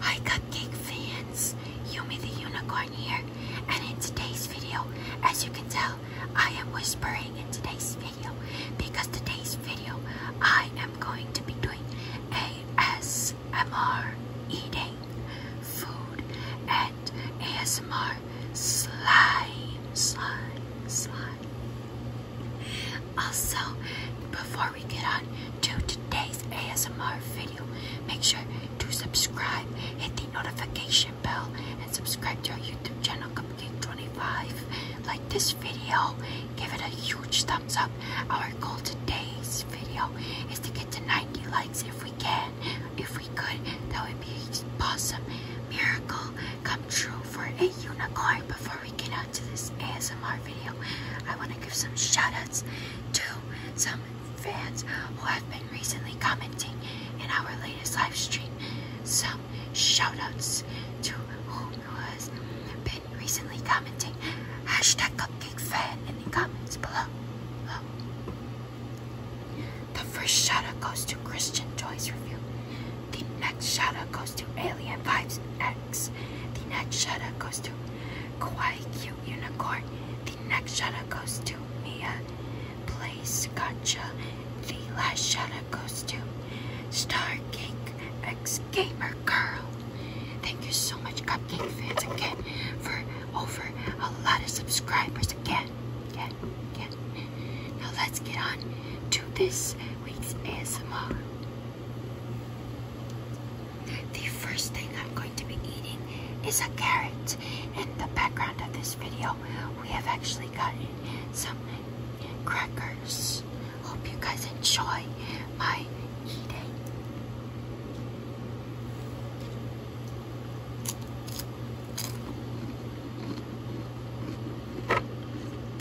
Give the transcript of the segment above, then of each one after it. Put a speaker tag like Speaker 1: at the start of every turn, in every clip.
Speaker 1: Hi Cupcake fans, You Yumi the Unicorn here, and in today's video, as you can tell, I am whispering in today's video, because today's video, I am going to be doing ASMR eating food and ASMR slime, slime, slime. Also, before we get on to today's ASMR video, make sure to subscribe, hit the notification bell, and subscribe to our YouTube channel, Cupcake25. Like this video, give it a huge thumbs up. Our goal today's video is to get to 90 likes if we can. If we could, that would be an awesome miracle come true for a unicorn before we get on this ASMR video, I want to give some shoutouts to some fans who have been recently commenting in our latest live stream. Some shoutouts to who has been recently commenting. Hashtag cupcake fan in the comments below. The first shoutout goes to Christian Toys Review. The next shoutout goes to Alien Vibes X. The next shoutout goes to Quite cute unicorn. The next shadow goes to Mia. Uh, place gotcha. The last shadow goes to Star Cake X Gamer Girl. Thank you so much, Cupcake fans, again for over a lot of subscribers again. Again, again. Now let's get on to this week's ASMR. The first thing I'm going to be eating is a carrot. In the background of this video, we have actually gotten some crackers. Hope you guys enjoy my eating.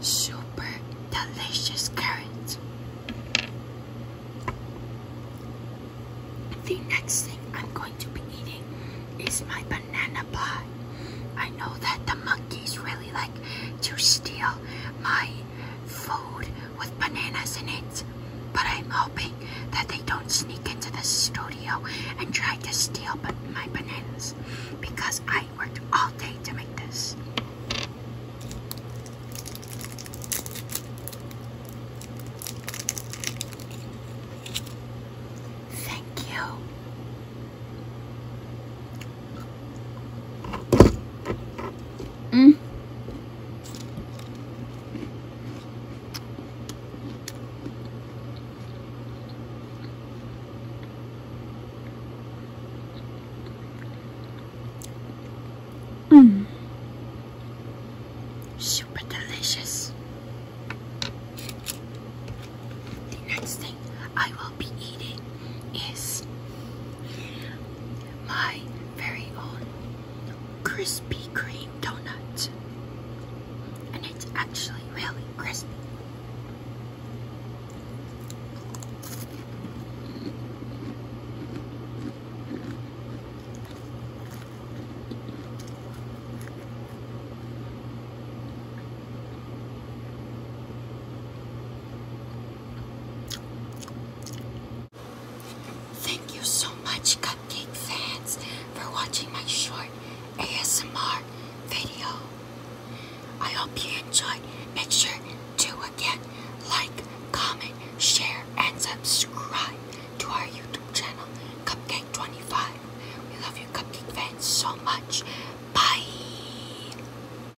Speaker 1: Super delicious carrots. The next thing I'm going to be eating is my banana pie. I know that the monkeys really like to steal my food with bananas in it. But I'm hoping that they don't sneak into the studio and try to steal my bananas because I worked all day to make this. Thank you. Mmm. Mm. Super delicious. The next thing I will be eating is my very own Krispy Kreme donut, and it's actually really crispy. Thank you so much, Cupcake fans, for watching my short ASMR video. I hope you enjoyed. Make sure to again like, comment, share, and subscribe to our YouTube channel, Cupcake25. We love you, Cupcake fans, so much. Bye.